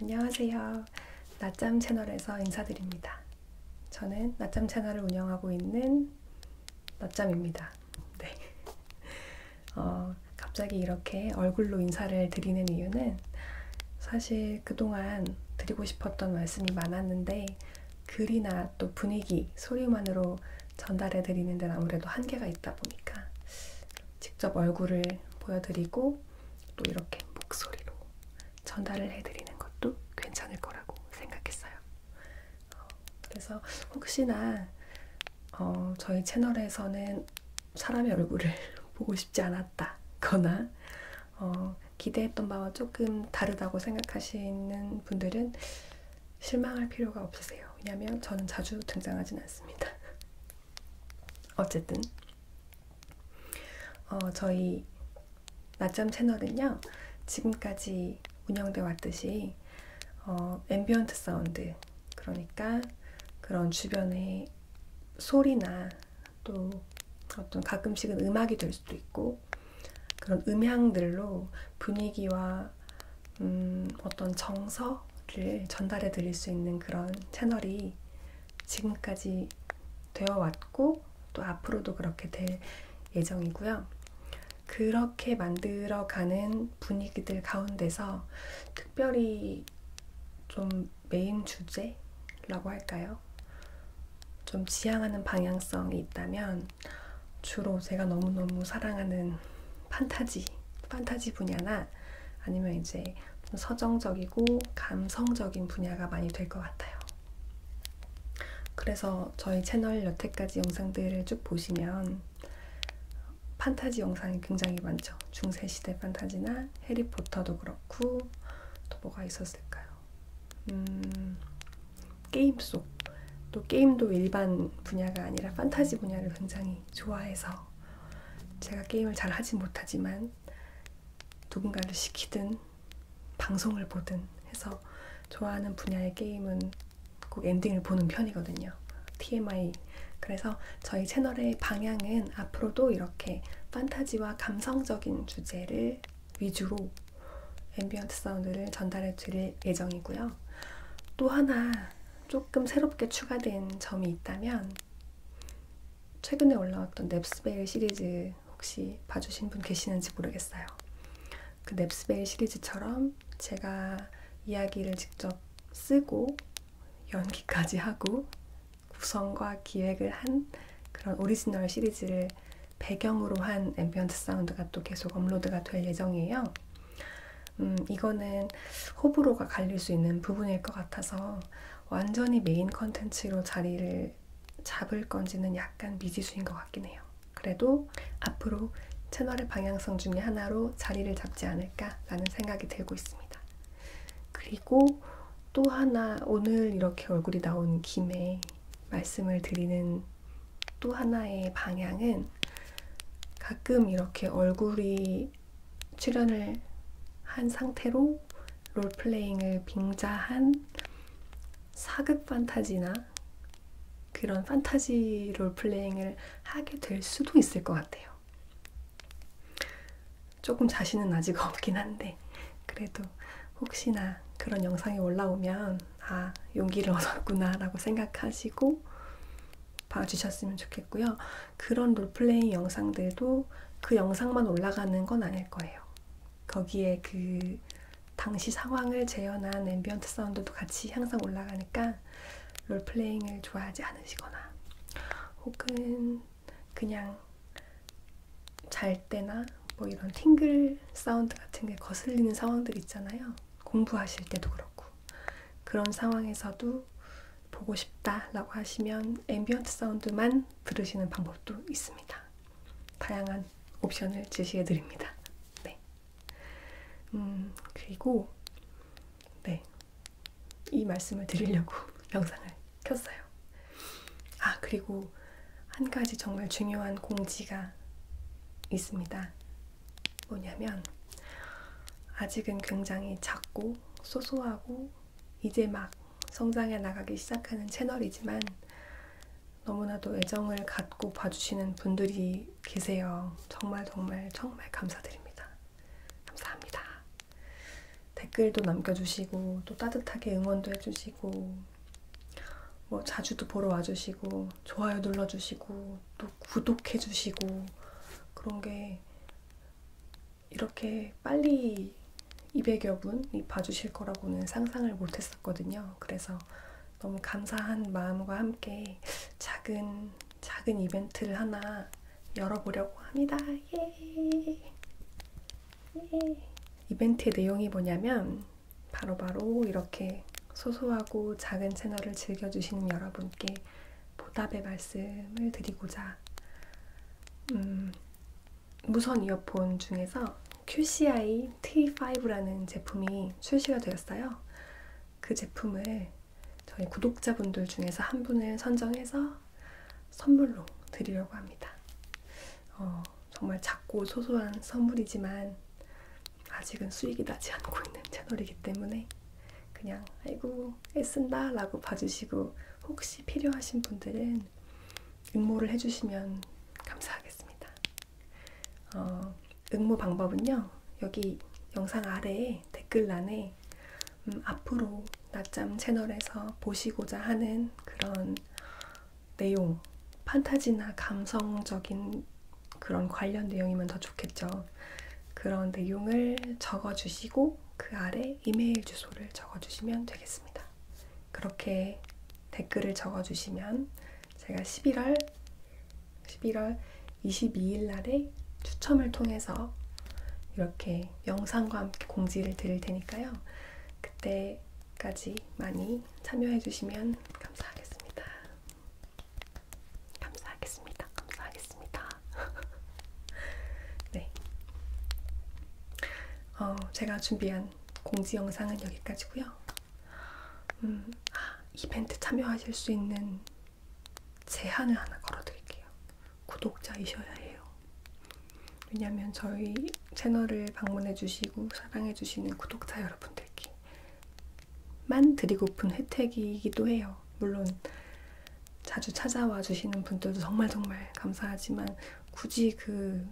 안녕하세요. 낮잠 채널에서 인사드립니다. 저는 낮잠 채널을 운영하고 있는 낮잠입니다. 네. 어, 갑자기 이렇게 얼굴로 인사를 드리는 이유는 사실 그동안 드리고 싶었던 말씀이 많았는데 글이나 또 분위기, 소리만으로 전달해 드리는 데는 아무래도 한계가 있다 보니까 직접 얼굴을 보여드리고 또 이렇게 목소리로 전달을 해드리는 것도 괜찮을 거라고 생각했어요. 어, 그래서 혹시나 어, 저희 채널에서는 사람의 얼굴을 보고 싶지 않았다거나 어, 기대했던 바와 조금 다르다고 생각하시는 분들은 실망할 필요가 없으세요. 왜냐하면 저는 자주 등장하진 않습니다. 어쨌든 어, 저희 낮잠 채널은요 지금까지 운영돼 왔듯이 어, 앰비언트 사운드 그러니까 그런 주변의 소리나 또 어떤 가끔씩은 음악이 될 수도 있고 그런 음향들로 분위기와 아니라 음, 어떤 정서를 전달해 드릴 수 있는 그런 채널이 지금까지 되어 왔고 또 앞으로도 그렇게 될 예정이고요. 그렇게 만들어가는 분위기들 가운데서 특별히 좀 메인 주제라고 할까요? 좀 지향하는 방향성이 있다면 주로 제가 너무너무 사랑하는 판타지 판타지 분야나 아니면 이제 좀 서정적이고 감성적인 분야가 많이 될 것 같아요. 그래서 저희 채널 여태까지 영상들을 쭉 보시면 판타지 영상이 굉장히 많죠. 중세시대 판타지나 해리포터도 그렇고 또 뭐가 있었을까요? 음, 게임 속또 게임도 일반 분야가 아니라 판타지 분야를 굉장히 좋아해서 제가 게임을 잘 하진 못하지만 누군가를 시키든 방송을 보든 해서 좋아하는 분야의 게임은 꼭 엔딩을 보는 편이거든요. TMI. 그래서 저희 채널의 방향은 앞으로도 이렇게 판타지와 감성적인 주제를 위주로 앰비언트 사운드를 전달해 드릴 예정이고요. 있고요. 또 하나 조금 새롭게 추가된 점이 있다면 최근에 올라왔던 넵스베일 시리즈 혹시 봐주신 분 계시는지 모르겠어요. 그 넵스베일 시리즈처럼 제가 이야기를 직접 쓰고 연기까지 하고 구성과 기획을 한 그런 오리지널 시리즈를 배경으로 한 앰비언트 사운드가 또 계속 업로드가 될 예정이에요. 음, 이거는 호불호가 갈릴 수 있는 부분일 것 같아서 완전히 메인 컨텐츠로 자리를 잡을 건지는 약간 미지수인 것 같긴 해요. 그래도 앞으로 채널의 방향성 중에 하나로 자리를 잡지 않을까라는 생각이 들고 있습니다. 그리고 또 하나 오늘 이렇게 얼굴이 나온 김에 말씀을 드리는 또 하나의 방향은 가끔 이렇게 얼굴이 출연을 한 상태로 롤플레잉을 빙자한 사극 판타지나 그런 판타지 롤플레잉을 하게 될 수도 있을 것 같아요. 조금 자신은 아직 없긴 한데, 그래도 혹시나 그런 영상이 올라오면 아 용기를 얻었구나 라고 생각하시고 봐주셨으면 좋겠고요. 그런 롤플레잉 영상들도 그 영상만 올라가는 건 아닐 거예요. 거기에 그 당시 상황을 재현한 앰비언트 사운드도 같이 항상 올라가니까 롤플레잉을 좋아하지 않으시거나 혹은 그냥 잘 때나 뭐 이런 팅글 사운드 같은 게 거슬리는 상황들 있잖아요. 공부하실 때도 그렇고 그런 상황에서도 보고 싶다라고 하시면 앰비언트 사운드만 들으시는 방법도 있습니다. 다양한 옵션을 제시해 드립니다. 네. 음, 그리고 네. 이 말씀을 드리려고 영상을 켰어요. 아, 그리고 한 가지 정말 중요한 공지가 있습니다. 뭐냐면, 아직은 굉장히 작고 소소하고 이제 막 성장해 나가기 시작하는 채널이지만 너무나도 애정을 갖고 봐주시는 분들이 계세요. 정말 정말 정말 감사드립니다. 감사합니다. 댓글도 남겨주시고 또 따뜻하게 응원도 해주시고 뭐 자주도 보러 와주시고 좋아요 눌러주시고 또 구독해주시고 그런 게 이렇게 빨리 200여 분이 봐주실 거라고는 상상을 못했었거든요. 그래서 너무 감사한 마음과 함께 작은 작은 이벤트를 하나 열어보려고 합니다. 예! 이벤트의 내용이 뭐냐면 바로바로 바로 이렇게 소소하고 작은 채널을 즐겨주시는 여러분께 보답의 말씀을 드리고자 음, 무선 이어폰 중에서 QCI T5라는 제품이 출시가 되었어요. 그 제품을 저희 구독자분들 중에서 한 분을 선정해서 선물로 드리려고 합니다. 어, 정말 작고 소소한 선물이지만 아직은 수익이 나지 않고 있는 채널이기 때문에 그냥 아이고 애쓴다 라고 봐주시고 혹시 필요하신 분들은 응모를 해주시면 감사하겠습니다. 어, 응모 방법은요. 여기 영상 아래에 댓글란에 텐데 음, 앞으로 낮잠 채널에서 보시고자 하는 그런 내용, 판타지나 감성적인 그런 관련 내용이면 더 좋겠죠. 그런 내용을 적어주시고 그 아래 이메일 주소를 적어주시면 되겠습니다. 그렇게 댓글을 적어주시면 제가 11월 11월 22일 날에 추첨을 통해서 이렇게 영상과 함께 공지를 드릴 테니까요. 그때까지 많이 참여해 주시면 감사하겠습니다. 감사하겠습니다. 감사하겠습니다. 네. 어, 제가 준비한 공지 영상은 여기까지고요. 음, 아, 이벤트 참여하실 수 있는 제한을 하나 걸어드릴게요. 구독자이셔야 해요. 왜냐하면 저희 채널을 방문해주시고 사랑해주시는 구독자 여러분들께 만 드리고픈 혜택이기도 해요. 물론 자주 찾아와 주시는 분들도 정말 정말 감사하지만 굳이 그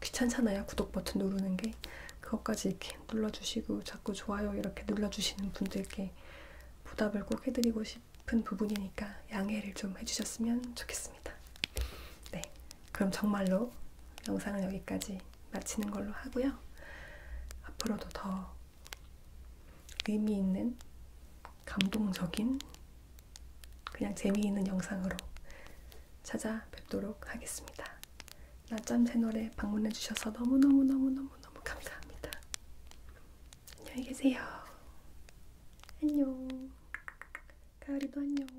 귀찮잖아요. 구독 버튼 누르는 게 그것까지 이렇게 눌러주시고 자꾸 좋아요 이렇게 눌러주시는 분들께 보답을 꼭 해드리고 싶은 부분이니까 양해를 좀 해주셨으면 좋겠습니다. 네, 그럼 정말로 영상은 여기까지 마치는 걸로 하고요. 앞으로도 더 의미 있는 감동적인 그냥 재미있는 영상으로 찾아뵙도록 하겠습니다. 낮잠 채널에 방문해 주셔서 너무너무너무너무너무 감사합니다. 안녕히 계세요. 안녕. 가을이도 안녕. 안녕.